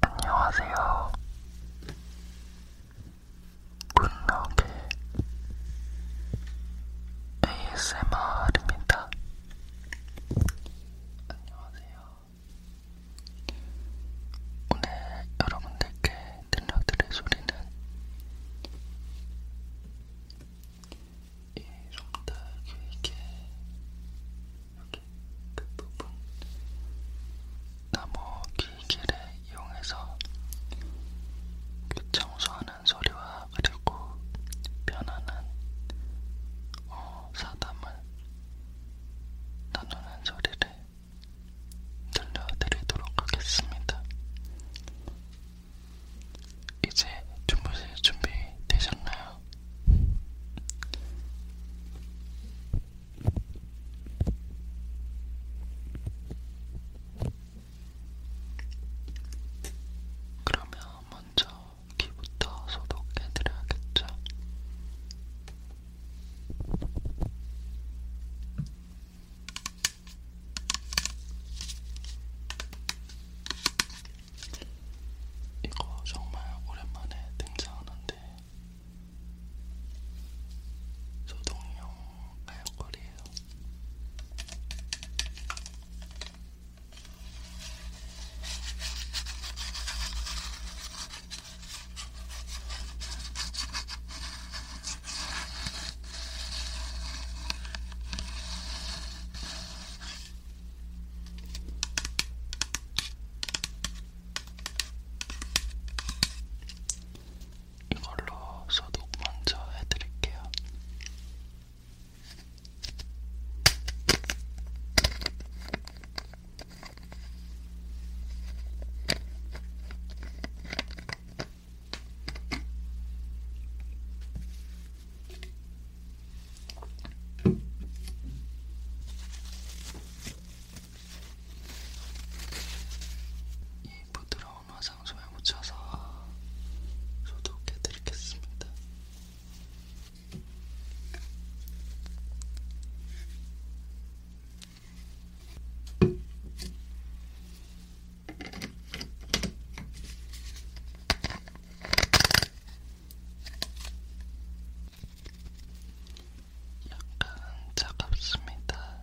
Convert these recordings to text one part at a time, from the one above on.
안녕하세요. 문너게 ASMR입니다. 안녕하세요. 오늘 여러분들께 들려드릴 소리는 이손딱 길게 여기 그 부분 나무 길기를 이용해서 그 청소하는 소리와 그리고 변하는 어, 사담을 나누는 소리를 들려드리도록 하겠습니다. 이제 주무실 준비 되셨나요? 그러면 먼저 귀부터 소독해드려야겠죠? 이거 정말 오랜만에 등장하는데 소독용 가역걸이에요. 이걸로 소독 먼저 해드릴게요. 이 부드러운 화상솜에 묻혀서 소독해 드리겠습니다. 약간 차갑습니다.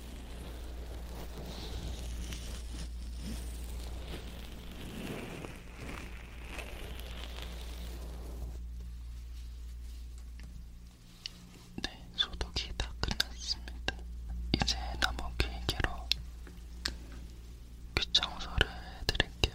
네, 소독이 다 끝났습니다. 이제 나무 길게로 귀청소를 해드릴게요.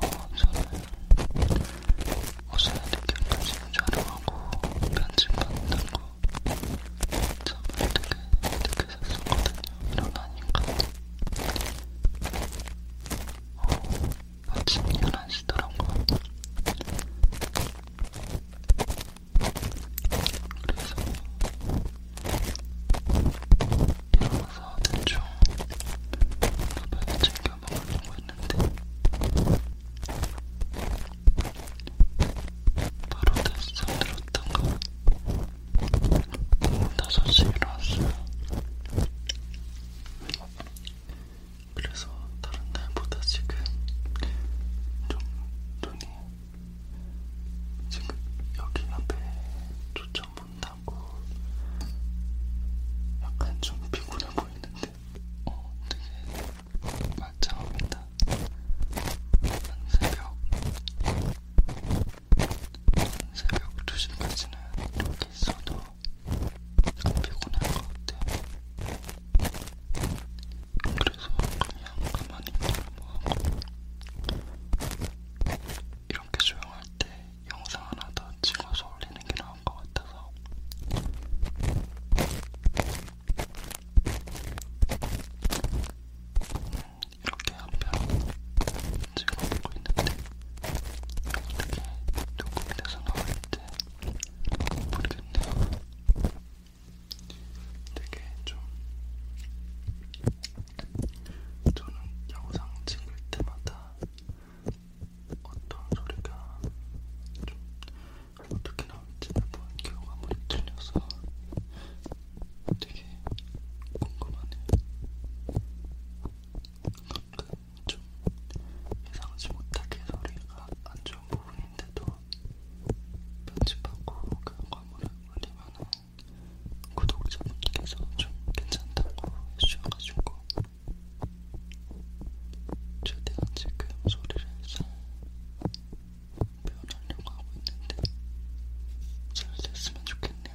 어, 저는 옷을 이렇게 편집을 촬영하고 편집받는다고 잠을 되게 늦게 잤었거든요. 일어나니까. 어, 아침 11시더라고요. 그래서 들어가서 대충 밥을 챙겨 먹으려고 했는데 바로 다시 잠들었던 거 오후 5시에 일어났어요 그래서 다른 날보다 지금 좀 눈이 지금 여기 앞에 초점 못하고 약간 좀 피곤해 보이는데 어 되게 만장합니다. 한 새벽 한 새벽 2시까지는 이렇게 있어도 안 피곤할 것 같아요. 그래서 그냥 가만히 있는 거 뭐 하고 이렇게 조용할 때 영상 하나 더 찍어서 올리는 게 나을 것 같아서. 이렇게 한 편 찍어보고 있는데 어떻게 녹음이 돼서 나올지 모르겠네요. 되게 좀 저는 영상 찍을 때마다 어떤 소리가 좀 어떻게 나올지 매번 결과물이 틀려서 되게 궁금하네요. 가끔 좀 예상하지 못하게 소리가 안 좋은 부분인데도 편집하고 결과물을 올리면은 구독자분께서 좀 괜찮다고 해주셔가지고 최대한 지금 소리를 잘 표현하려고 하고 있는데 잘 됐으면 좋겠네요.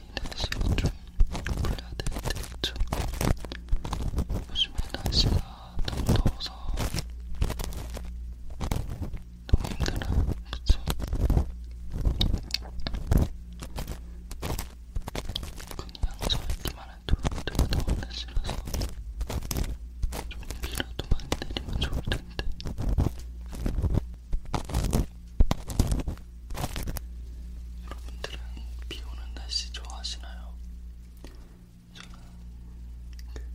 날씨가 좀 풀려야 될때 있죠. 요즘에 날씨가 너무 더워서 너무 힘들어요. 그쵸? 그냥 저 있기만 해도 되게 더운 날씨라서 좀 비라도 많이 내리면 좋을 텐데 여러분들은 비 오는 날씨 좋아하시나요? 저는 그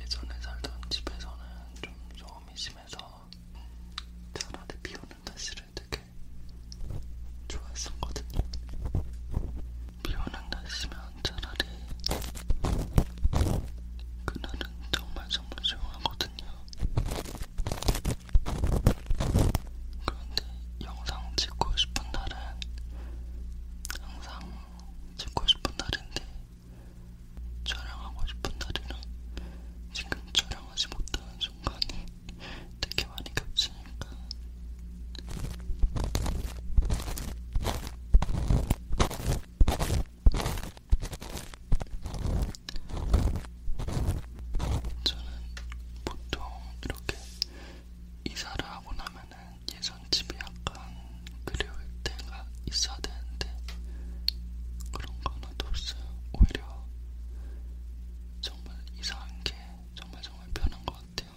예전에 살던 집에서는 좀 소음이 심해서 차라리 비 오는 날씨를 되게 좋아했었거든요. 비 오는 날씨면 차라리 그날은 정말 정말 조용하거든요. 그런데 영상 찍고 싶은 날은 항상 찍고 싶은 날인데 촬영하고 싶은 날이랑 지금 촬영하지 못하는 순간이 되게 많이 겹치니까 저는 보통 이렇게 이사를 하고 나면은 예전 집이 약간 그리울 때가 있어야 되는데 그런 거 하나도 없어요. 오히려 정말 이사한 게 정말 정말 편한 것 같아요.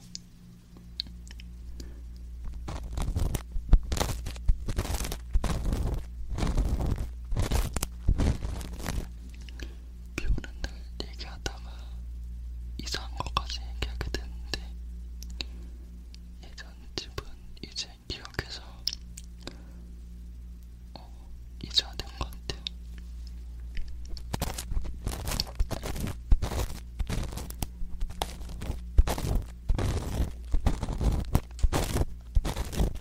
비 오는 날 얘기하다가 이상한 것까지 얘기하게 됐는데 예전 집은 이제 기억해서 어, 잊어야 된것 같아요.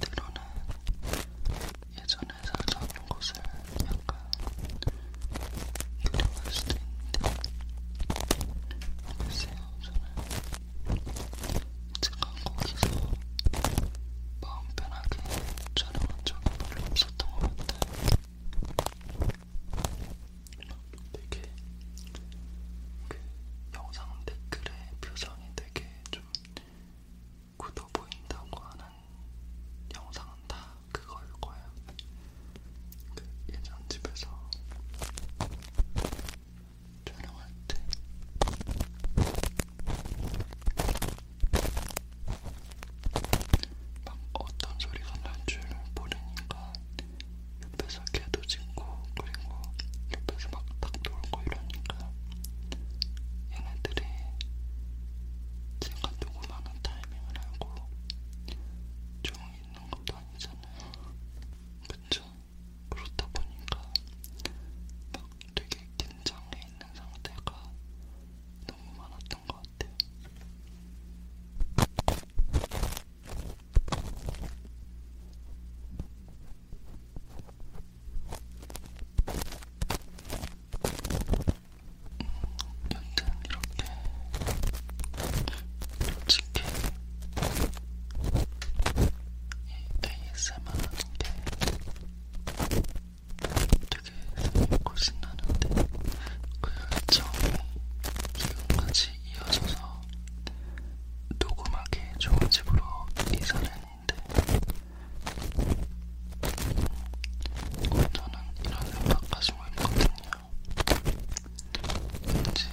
때로는 예전에 살던 곳을 약간 그리워할 수도 있는데 글쎄요 저는 제가 거기서 마음 편하게 촬영한 적이 별로 없었던 것 같아요 되게 그 영상 댓글의 표정이 되게 좀 굳어 보인다고 하는 영상은 다 그거일 거예요. 그 예전 집에서 촬영할 때. 막 어떤 소리가 날 줄 모르니까 옆에서 개도 짖고 그리고 옆에서 막닭 돌고 이러니까 얘네들이 제가 녹음하는 타이밍을 알고 조용히 있는 것도 아니잖아요. 그쵸? 그렇다 보니까 막 되게 긴장해 있는 상태가 너무 많았던 것 같아요. 여튼 이렇게 솔직히 이 ASMR 하는게 되게 재밌고 신나는데 그 열정이 지금까지 이어져서 녹음하기 좋은 집으로 이사를 했는데 저는 이런 생각 가지고 있거든요. 왠지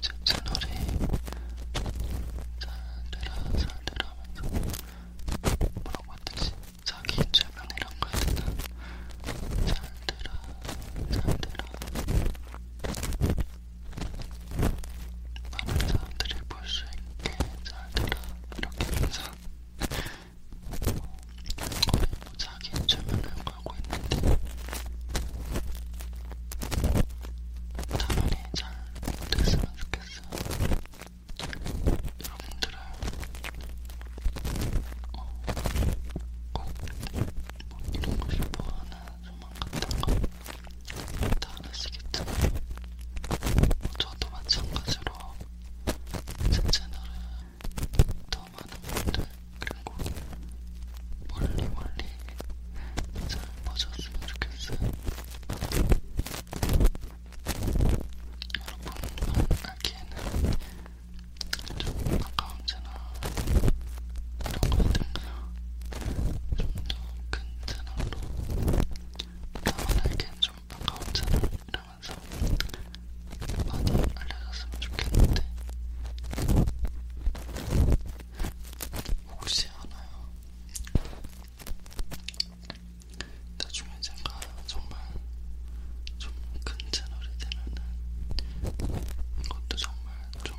제 채널이 살대라 살대라 하면서 뭐라고 했듯이 자기 주변이랑 가야 되나 살대라 살대라 많은 사람들이 볼 수 있게 잘되라 이렇게 항상 거의 뭐 자기 최면을 걸고 있는데 당연히 잘 못했으면 좋겠어요. 여러분들은 어, 꼭뭐 이루고 싶어하는 소망 같은 거다 아시겠지만 저도 마찬가지로 제 채널은 더 많은 분들 그리고 멀리 멀리 잘 보셨으면 좋겠어요. 여러분만 알기에는 좀 아까운 상자나 이런 것들 그냥 좀더 큰 채널로 남한에겐 좀 아까운 채널 이러면서 많이 알려줬으면 좋겠는데 혹시 알아요? 나중에 제가 정말 좀 큰 채널이 되면은 이것도 정말 좀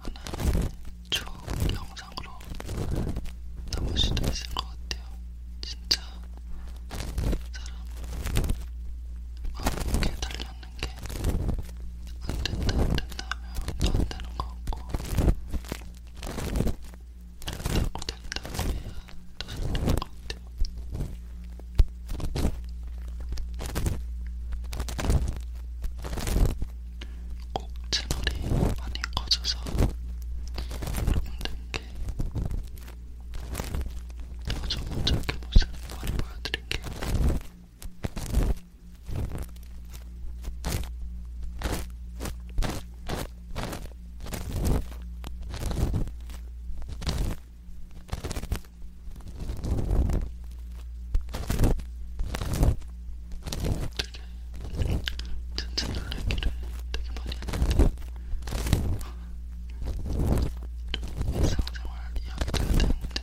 하나의 쭉 영상으로 남을 수도 있을 것 같아요. 진짜 사람 마음에 달렸는 게 안된다 안된다 하면 또 안되는 것 같고 된다고 된다고 해야 또 안되는 것 같아요. 꼭 채널이 많이 커져서 여러분들께 더좀 어떻게 모습 많이 보여드릴게요. 진짜 놀래기를 되게 많이 했는데 좀 일상생활 이야기를 했는데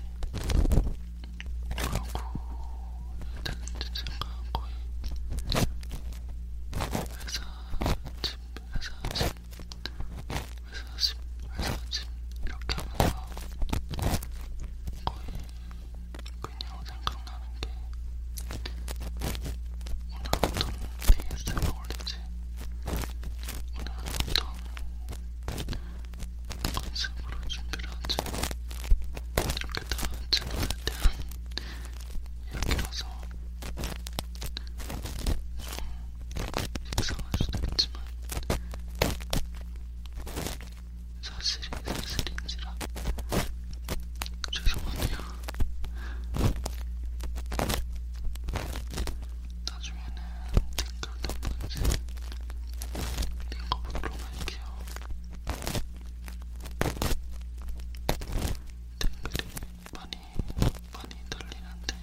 뭐라고 해야 되는지 제가 거의 회사 집, 회사 집 회사집, 회사집 이렇게 하면서 거의 그냥 생각나는 게 오늘 어떤 페이스를 올리지? 오늘 어떤 컨셉으로 준비를 하지? 이렇게 다 채널에 대한 이야기라서 좀 이상할 수도 있지만 사실이 사실인지라 죄송하네요. 나중에는 댓글도 번지 읽어보도록 할게요. 댓글이 많이 많이 달리는데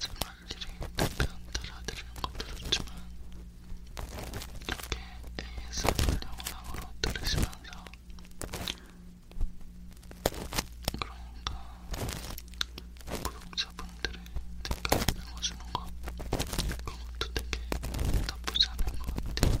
정말 일일이 답변 달아드리는 건 별로지만 이렇게 ASMR 영상으로 들으시면서 그러니까 구독자분들의 댓글 읽어주는 것 그것도 되게 나쁘지 않은 것 같아요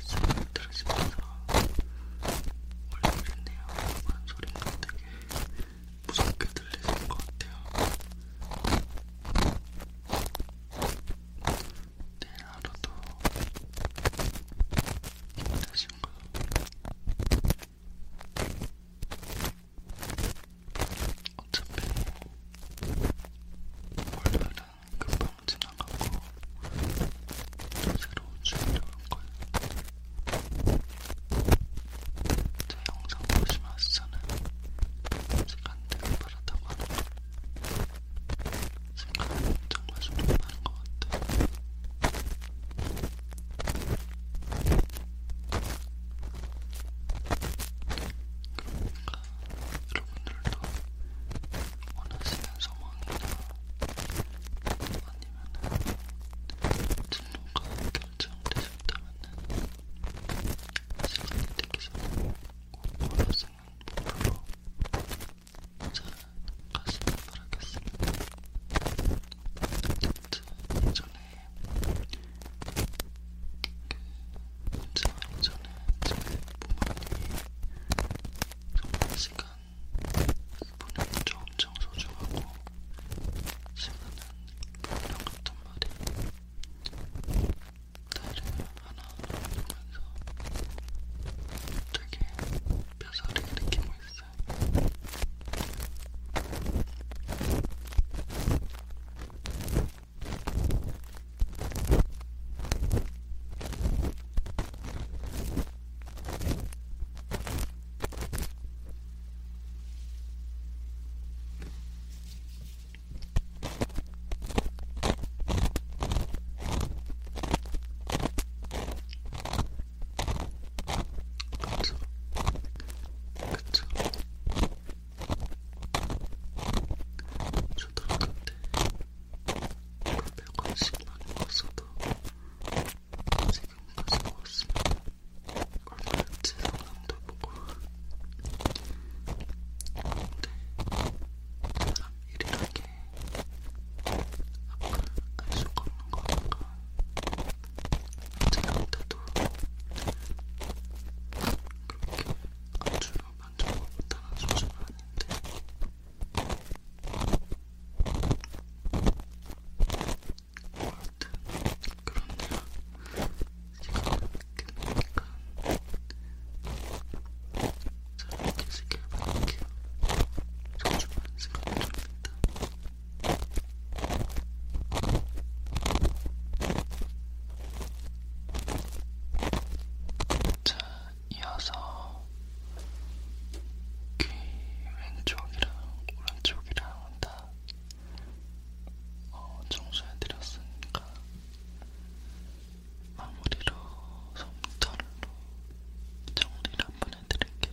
소리를 들으시면서 원래 그랬네요. 그런 소리가 되게 무섭게 들리시는 것 같아요. 내일 하루도 힘내시고 어차피 월요일은 금방 지나가고 또 새로 준비할 거예요. 제 영상 보시면 아시잖아요. 시간대가 빠르다고 하는 거. 시간은 정말 정말 빠른 것 같아요. 그러니까 여러분들도 원하시는 상황이나 아니면은 진로가 결정되셨다면은 시간이 되기 전에 꼭 원하시는 목표로 잘 가시길 바라겠습니다. 저 예전에 그 잠자기 전에 제품 안이 정말 시간 분은 저 엄청 소중하고 시간은 분량 같단 말이 나를 하나하나 보면서 되게 뼈살이 느끼고 있어요. 그쵸? 그쵸? 초등학교 때 100원씩만 먹었어도 지금까지 먹었으면 얼마나 죄송함도 보고 근데 사람 일이란 게 아까 알 수가 없는 거니까 언제나 때도 그렇게 아주 만족하고다는 소식은 아닌데 뭐 하여튼 그렇네요 시간을 늦게 보니까 잘 느끼시길 바랄게요 소중한 시간을 줍니다 자 이어서 귀 왼쪽이랑 오른쪽이랑 다 어, 청소해드렸으니까 마무리로 솜털로 정리를 한번 해드릴게요.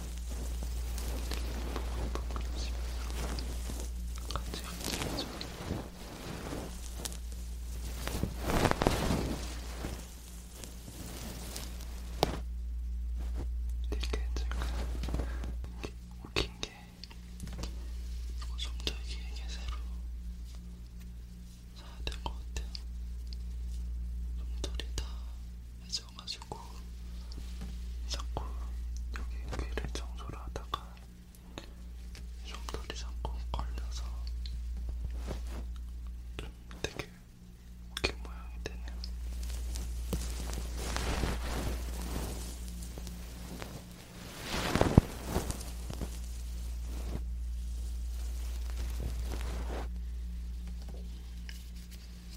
같이 같이 이렇게 제가 웃긴 게 이거 좀 더 길게 새로 사야 될것 같아요. 좀더 리다 있어가지고 자꾸 여기 귀를 청소를 하다가 좀돌이 자꾸 걸려서 좀 되게 웃긴 모양이 되네요.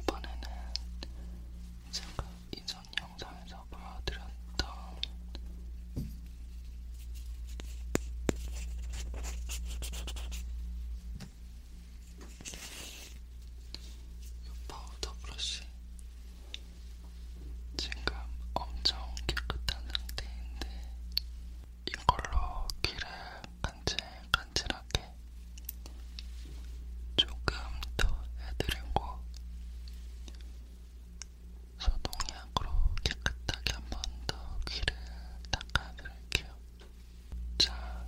이번에는 제가 이전 영상에서 보여드렸던 이 파우더 브러쉬 지금 엄청 깨끗한 상태인데 이걸로 귀를 간질간질하게 조금 더 해드리고 소독약으로 깨끗하게 한 번 더 귀를 닦아드릴게요. 자,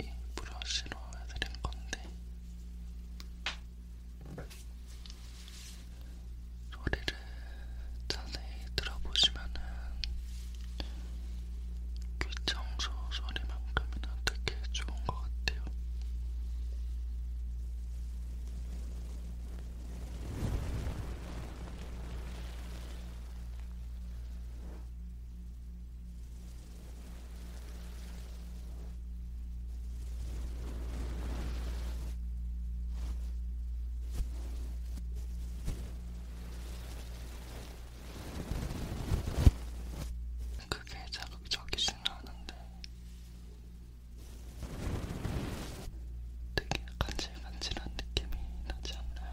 이 브러쉬로 해드린 건데 소리를 자세히 들어보시면은 귀 청소 소리만큼이나 되게 좋은 것 같아요. 그게 자극적이진 않은데 되게 간질간질한 느낌이 나지 않나요?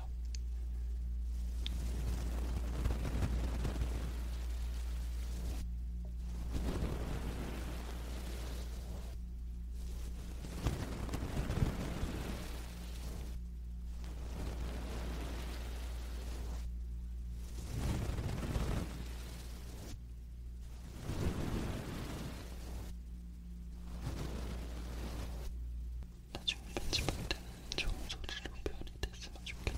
나중에 편집할 때는 좋은 소리로 표현이 됐으면 좋겠다.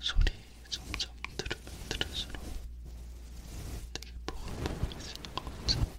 소리 점점 들으면 들을수록 되게 보글보글해지는 것 같아요.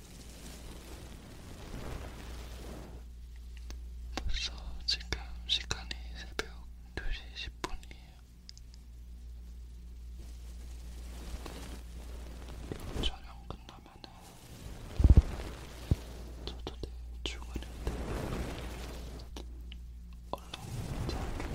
벌써 지금 시간이 새벽 2시 10분이에요. 촬영 끝나면은 저도 내일 출근인데 얼른 자게.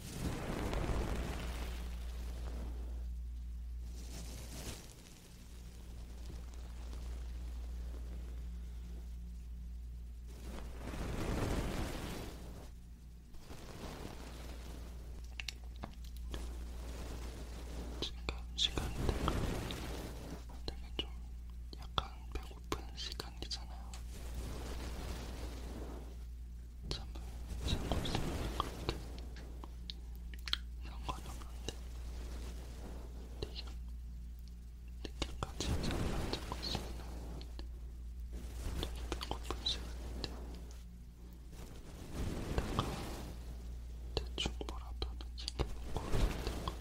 지금 시간대가 되게 좀 약간 배고픈 시간이잖아요. 잠을 자고 있으면 그렇게 상관이 없는데 내가 늦게까지 잠을 안 자고 있으면 되게 배고플 시간인데 내가 대충 뭐라도 챙겨먹고 있어야 될것 같아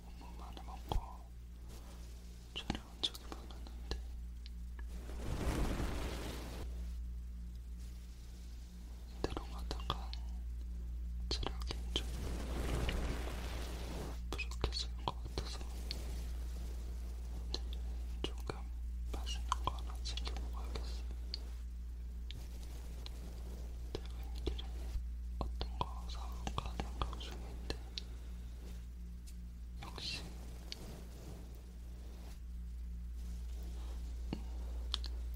너무 많이 먹고 촬영한 적이 많았는데 이대로 가다가 체력이 좀 부족해질 것 같아서 조금 맛있는 거 하나 챙겨 먹어야겠어요. 퇴근길에 어떤 거 사올까 생각 중인데 역시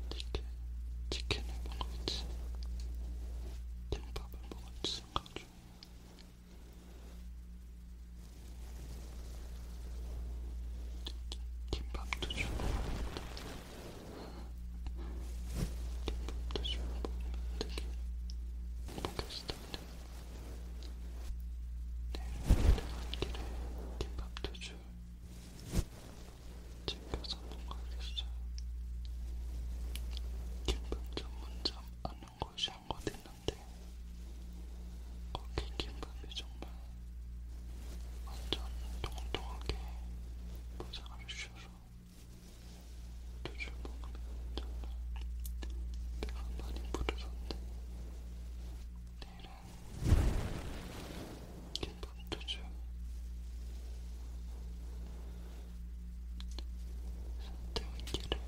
치킨, 치킨을 먹을지 김밥을 먹을지 생각 중 김밥도 주고 뒷부분도 씹어보면 되게 행복했었는데 내일 퇴근 길에 김밥도 줄 챙겨서 먹어야겠어요 김밥 전문점 아는 곳이 한 곳 있는데 거기 김밥이 정말 완전 통통하게 포장을 주셔서 술을 먹으면 정말 배가 많이 부르던데 내일은 김밥도주 산태운기를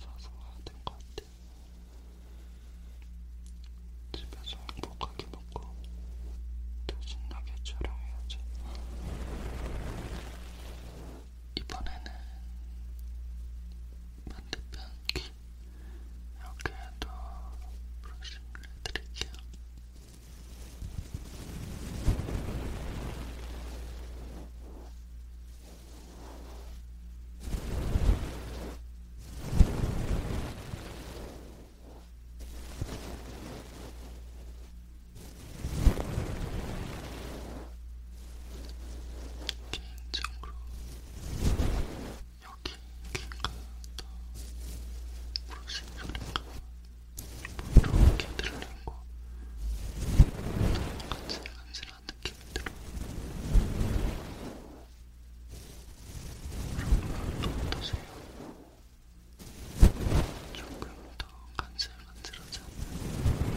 사서 와야 될 것 같아 집에서 행복하게 먹고 더 신나게 촬영해야지. 이번에는 반대편 귀 이렇게 더 브러쉬를 해드릴게요. 개인적으로 여기 킹가 더 브러싱 소리가 뭐 이렇게 들리고 똑같이 간지러운 느낌이 들어 그런 거 어떠세요? 조금 더 간질간질하지 않나요?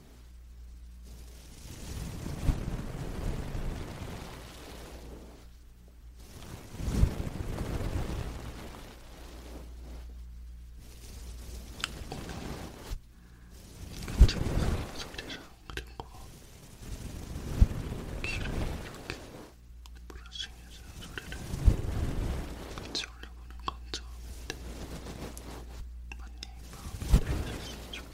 깜짝이야 소리를 그린 거 귀를 이렇게 브러싱해서 소리를 같이 올려보는 건 처음인데 많이 마음이 편해졌으면 좋겠네요.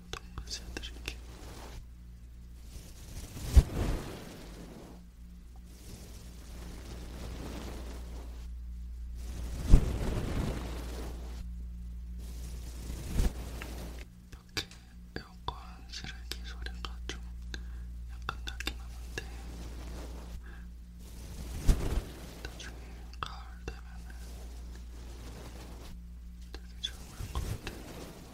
동무새 드릴게요. 이렇게 에어컨 쓰레기 소리가 좀 약간 나긴 하는데 나중에 가을 되면은 되게 좋을 것 같아요.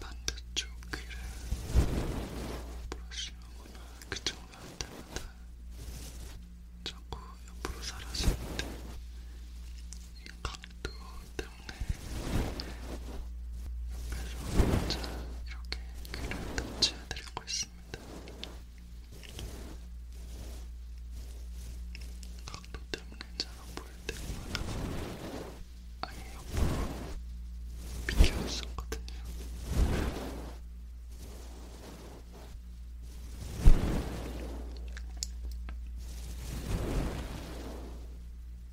반대쪽 귀를 브러쉬하거나 그쪽으로 할 때마다 자꾸 옆으로 사라지는데 이 각도 때문에 옆에서 혼자 이렇게 귀를 터치해드리고 있습니다. 각도 때문에 잘 안 보일 때마다 아예 옆으로 비켜왔었거든요.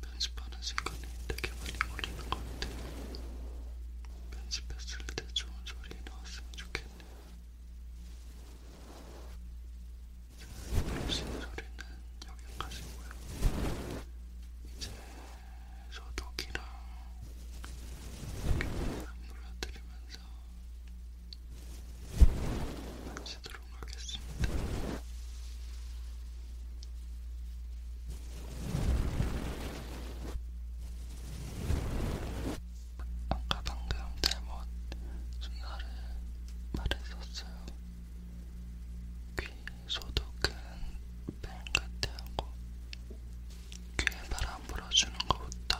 편집하는 시간이 되게 많이 걸리는 것 같아요. 편집했을 때 좋은 소리 나왔으면 좋겠네요. 역시 소리는 여기까지고요. 이제 소독이랑 물어드리면서 마치도록 하겠습니다. 아까 방금 잘못 순서를 말했었어요. 귀 소독은 뱅같이 하고 귀에 바람 불어주는 것부터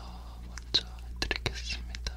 먼저 해드리겠습니다.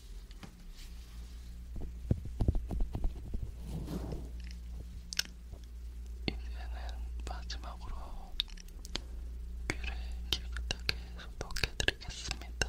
이제는 마지막으로 귀를 깨끗하게 소독해드리겠습니다.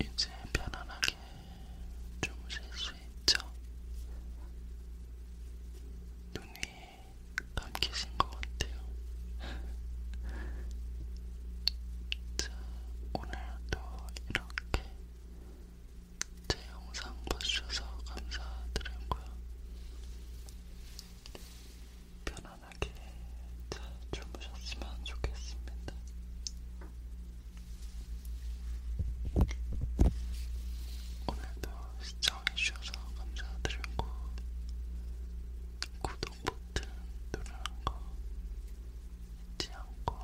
이제 편안하게 주무실 수 있죠? 눈이 감기신 것 같아요. 자, 오늘도 이렇게 제 영상 봐주셔서 감사드리고요. 편안하게 잘 주무셨으면 좋겠습니다. 오늘도 시청해주셔서 감사드리고 구독 버튼 누르는 거 잊지 않고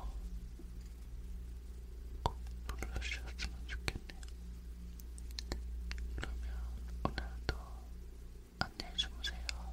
꼭 눌러주셨으면 좋겠네요. 그러면 오늘도 안녕히 주무세요.